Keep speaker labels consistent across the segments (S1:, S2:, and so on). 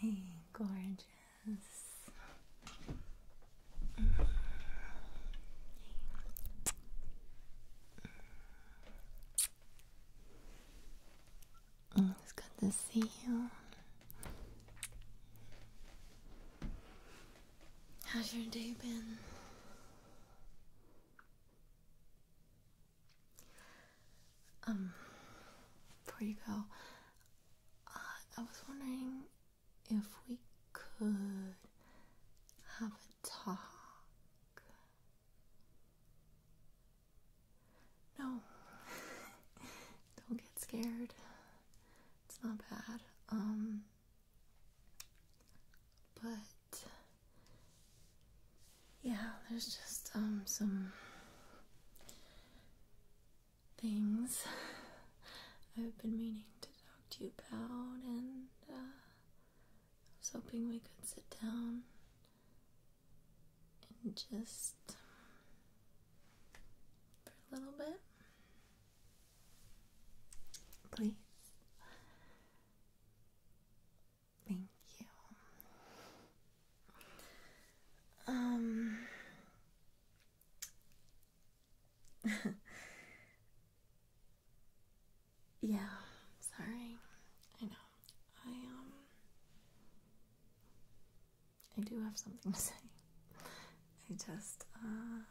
S1: Hey, gorgeous. Mm. It's good to see you. How's your day been? Um, before you go, uh, I was wondering if we could have a talk. No, don't get scared. It's not bad. Um, but yeah, there's just um some things I've been meaning to talk to you about, and uh, I was hoping we could sit down and just for a little bit, please. Thank you. Um Yeah, sorry. I know. I um I do have something to say. I just uh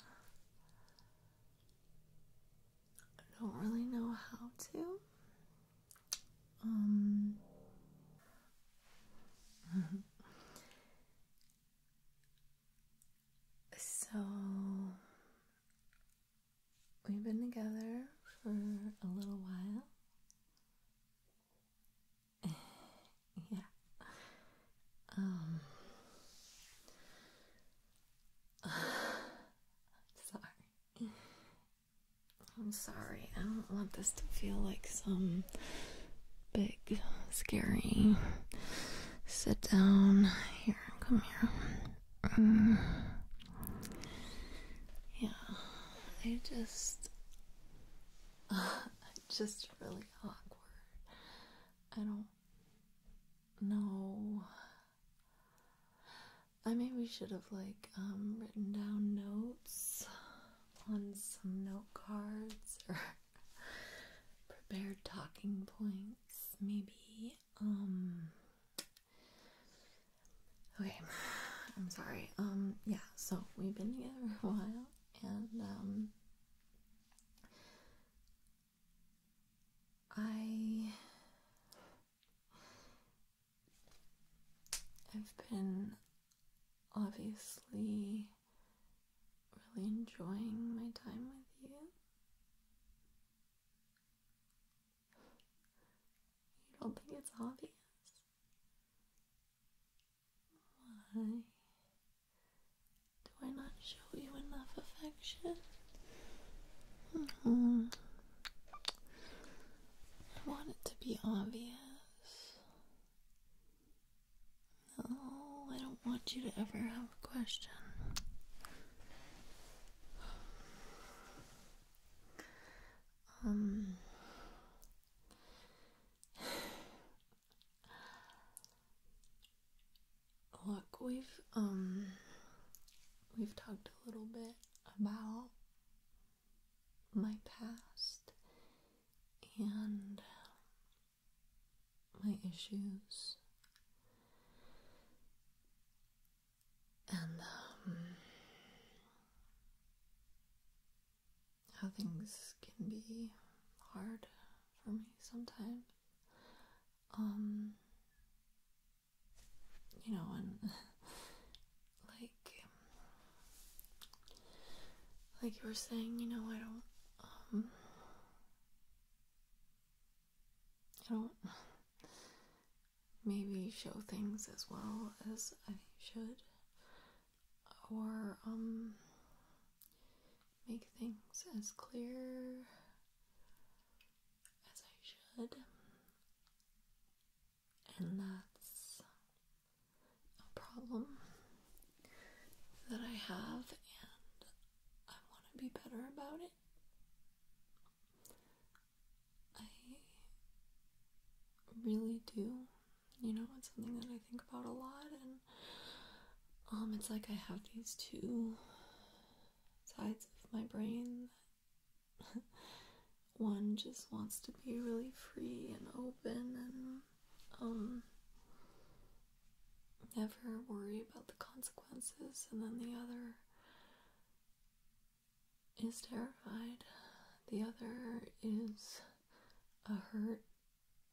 S1: I don't really know how to. Um, so we've been together for a little while. yeah. Um. Sorry. I'm sorry. I don't want this to feel like some big, scary. Sit down. Here, come here. Mm. yeah, I just. Uh, just really awkward. I don't know I maybe should have like um, written down notes on some note cards or prepared talking points maybe um okay I'm sorry um yeah so we've been together a while and um I I've been obviously really enjoying my time with you. You don't think it's obvious? Why do I not show you enough affection? Hmm. I want it to be obvious. No, I don't want you to ever have a question. Um. Look, we've um we've talked a little bit about my past and my issues. And um, how things can be hard for me sometimes. Um, you know, and like like you were saying, you know, I don't um, I don't maybe show things as well as I should or um, make things as clear as I should, and that's a problem that I have, and I want to be better about it. I really do. You know, it's something that I think about a lot, and um, it's like I have these two sides of my brain one just wants to be really free and open and um, never worry about the consequences and then the other is terrified. The other is a hurt,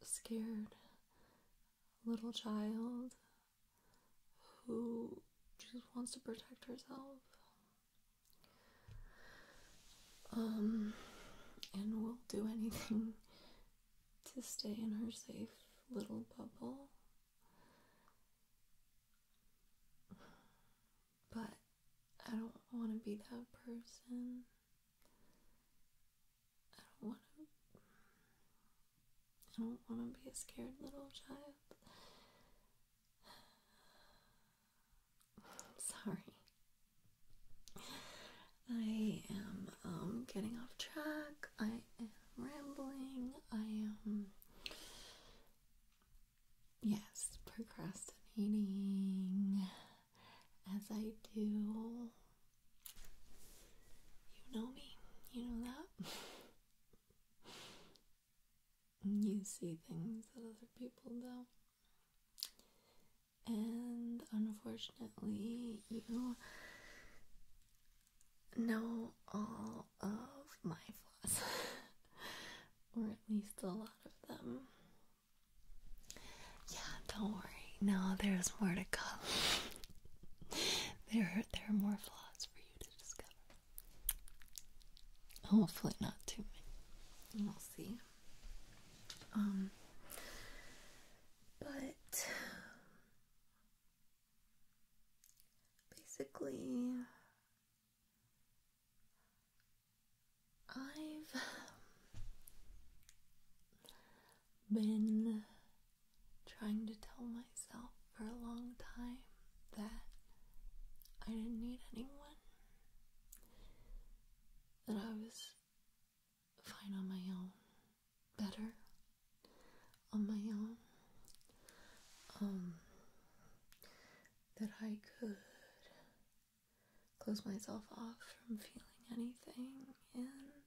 S1: scared little child who just wants to protect herself um, and will do anything to stay in her safe little bubble but I don't want to be that person. I don't want to I don't want to be a scared little child. I'm sorry. I am um, getting off track. I am rambling. I am, yes, procrastinating as I do. You know me. You know that. you see things that other people don't. And unfortunately, you know all of my flaws, or at least a lot of them. Yeah, don't worry. No, there's more to come. there, are, there are more flaws for you to discover. Oh, hopefully not too many. We'll see. Um but basically I've been trying to tell myself for a long time that I didn't need anyone, that I was fine on my own, better on my own, um, that I could close myself off from feeling anything and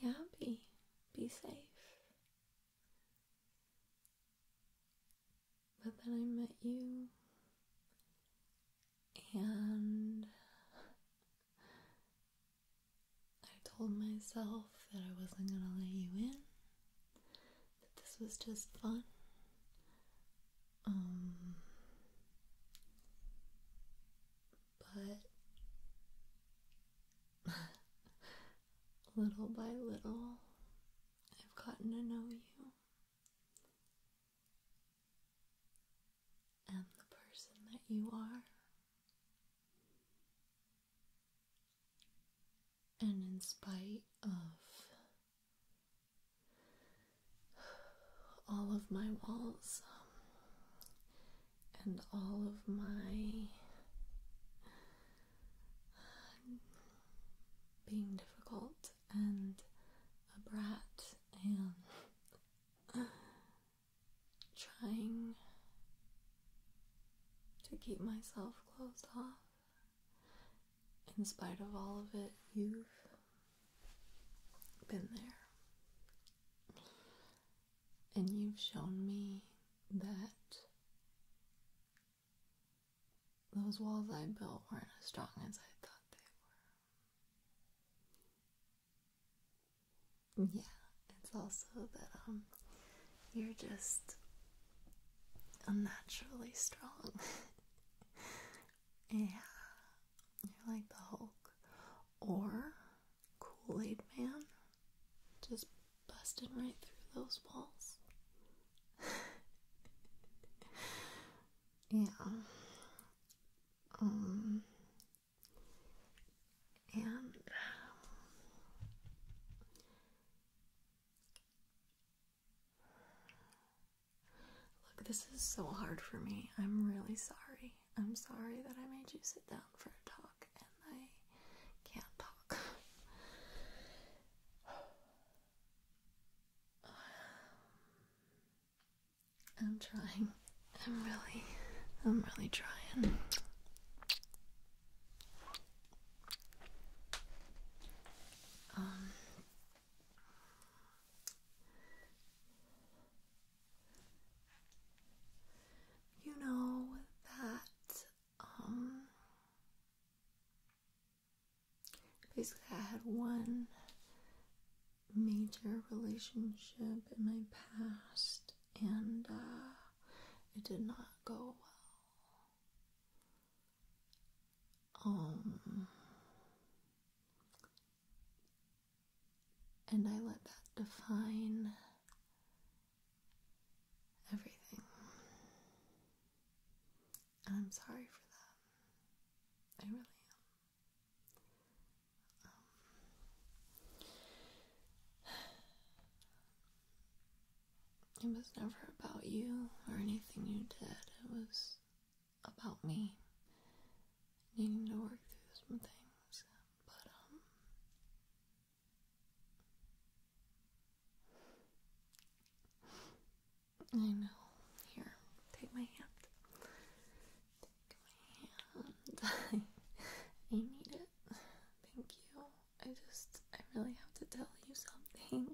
S1: be happy, be safe, but then I met you, and I told myself that I wasn't gonna let you in, that this was just fun. Um, but little by little, I've gotten to know you and the person that you are. And in spite of all of my walls, and all of my uh, being difficult and a brat and uh, trying to keep myself closed off. In spite of all of it, you've been there and you've shown me that those walls I built weren't as strong as I thought they were. Yeah, it's also that um you're just unnaturally strong. yeah. You're like the Hulk. Or Kool Aid Man just busted right through those walls. yeah. Um. And. Look, this is so hard for me. I'm really sorry. I'm sorry that I made you sit down for a talk and I can't talk. I'm trying. I'm really, I'm really trying. Um, you know that uh, basically, I had one major relationship in my past, and uh, it did not go well. Um, and I let that define everything. And I'm sorry for that. I really am. Um, it was never about you or anything you did. It was about me needing to work through some things. But, um, I know. Here, take my hand. Take my hand. I need it. Thank you. I just, I really have to tell you something.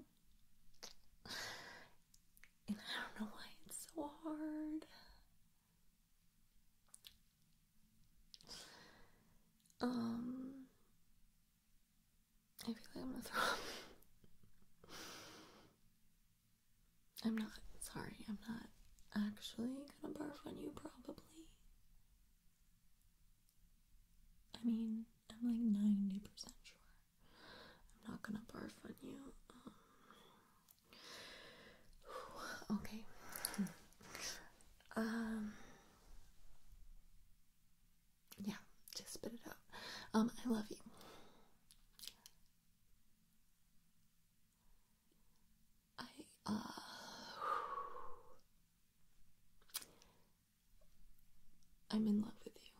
S1: And I don't know why it's so hard. Um, I feel like I'm gonna throw up. I'm not sorry, I'm not actually gonna barf on you, probably. I mean, I'm like 90% sure I'm not gonna barf on you. Um, okay. Um, yeah, just spit it out. Um, I love you. I, uh, I'm in love with you.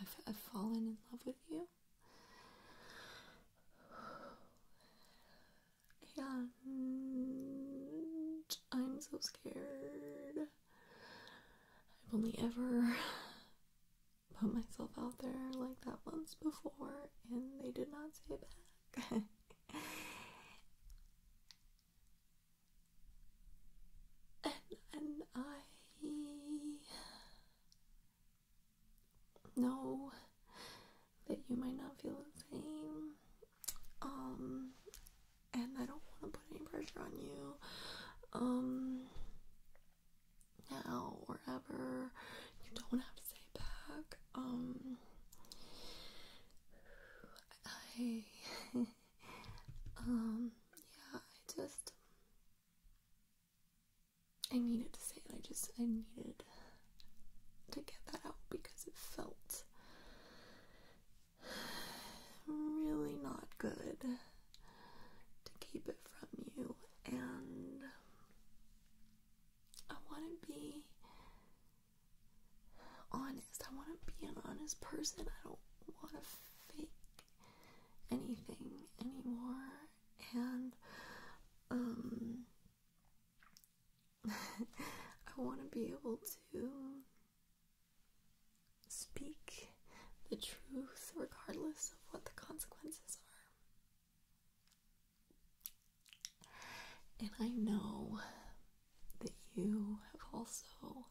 S1: I've, I've fallen in love with you and I'm so scared. I've only ever put myself out there like that once before, and they did not say back. and, and I know that you might not feel the same um, and I don't want to put any pressure on you, um, now or ever. You don't have to say back. Um, I, um, yeah, I just, I needed to say it. I just, I needed to get that out because it felt really not good to keep it from you and I want to be honest. I want to be an honest person. I don't want to fake anything anymore. And um I want to be able to speak the truth regardless of what the consequences are. And I know that you have also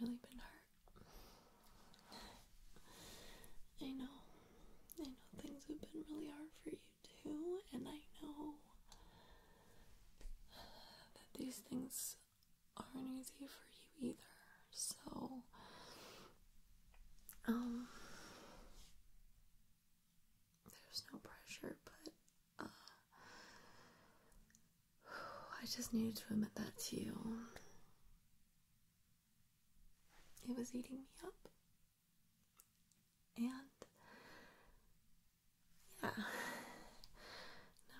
S1: really been hurt. I know. I know things have been really hard for you do, and I know that these things aren't easy for you either. So, um, there's no pressure, but uh, I just needed to admit that to you. It was eating me up. And yeah, now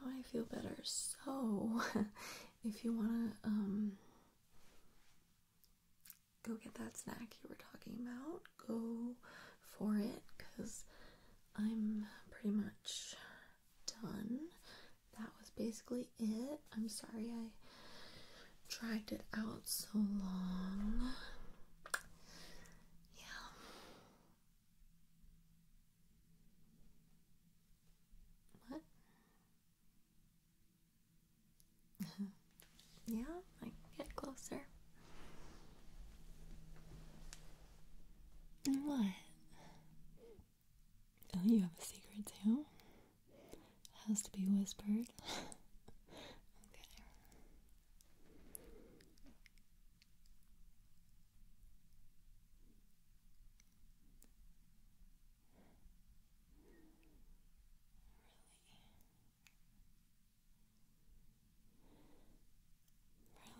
S1: I feel better. So, if you want to um, go get that snack you were talking about, go for it because I'm pretty much done. That was basically it. I'm sorry I dragged it out so long. Yeah. What? yeah, like get closer. What? Oh, you have a secret too? Has to be whispered. okay.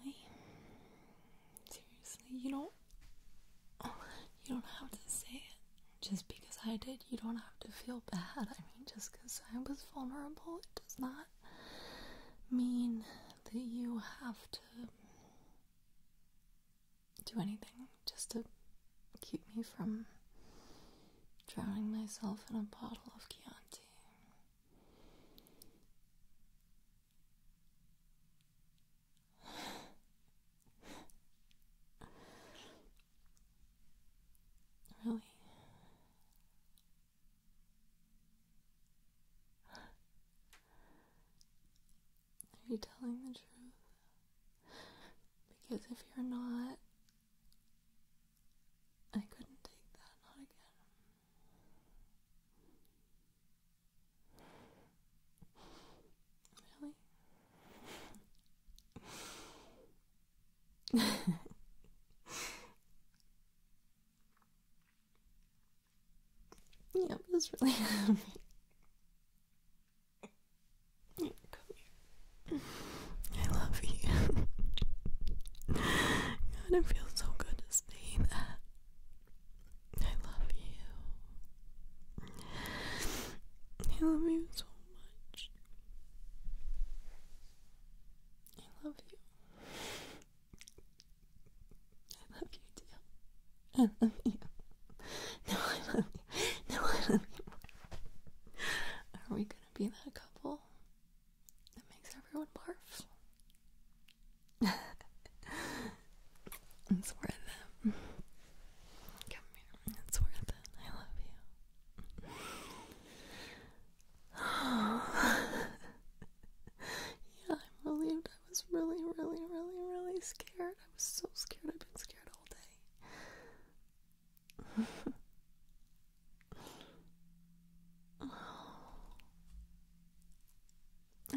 S1: Really? Seriously, you don't you don't have to say it just because I did you don't have to feel bad. I mean, just because I was vulnerable, it does not mean that you have to do anything just to keep me from drowning myself in a bottle of Chianti. Really? Are you telling the truth? Because if you're not, I couldn't take that, not again. Really? yeah, that's really happening. Come here. I love you. God, it feels so good to say that. I love you. I love you so much. I love you. I love you too. I love you. No, I love you. No, I love you. Are we gonna be that couple that makes everyone barf? it's worth it. Come here. It's worth it. I love you yeah, I'm relieved. I was really, really, really, really scared. I was so scared. I've been scared all day.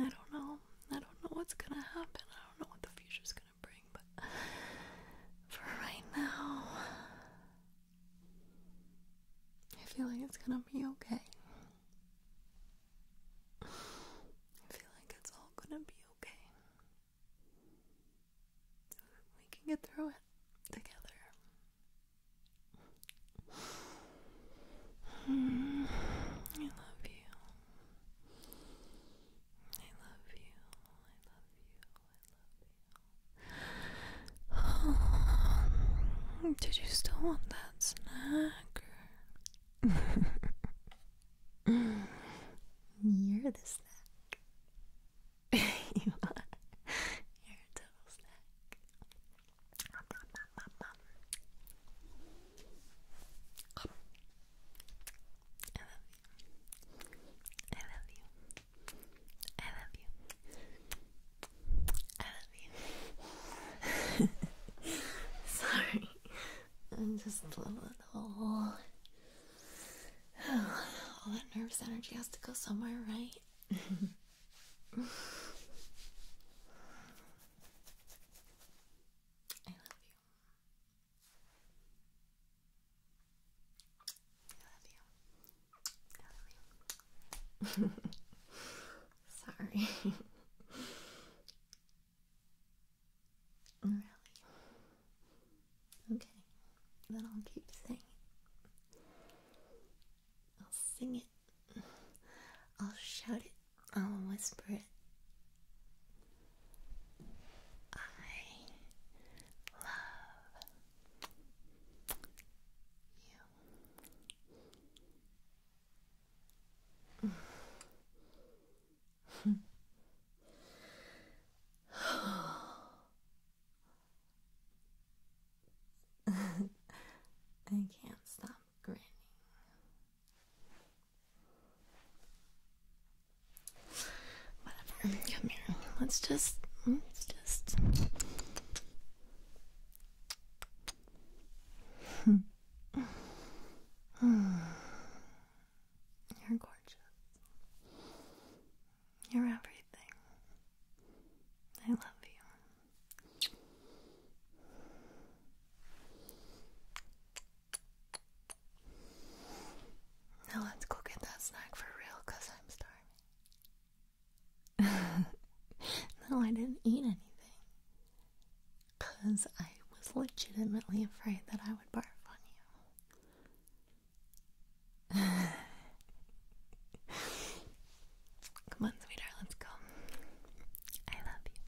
S1: I don't know. I don't know what's gonna happen. I don't know what the future's gonna bring, but for right now, I feel like it's gonna be okay. I feel like it's all gonna be okay. We can get through it together. I love you. I love you. I love you. I love you. did you still want that snack? You're the snack. you are. You're a double snack. I love you. I love you. I love you. Sorry. I'm just a little all that nervous energy has to go somewhere, right? I love you. I love you. I love you. Sorry. really? Okay. Then I'll keep singing. I'll sing it. I'll shout it. I'll whisper it. I love I can't stop grinning. Whatever. Come here. Let's just. Let's just. You're gorgeous. You're everything. I love you. Now let's go get that snack for real because I'm starving. no, I didn't eat anything. Because I was legitimately afraid that I would barf on you. Come on, sweetheart, let's go. I love you.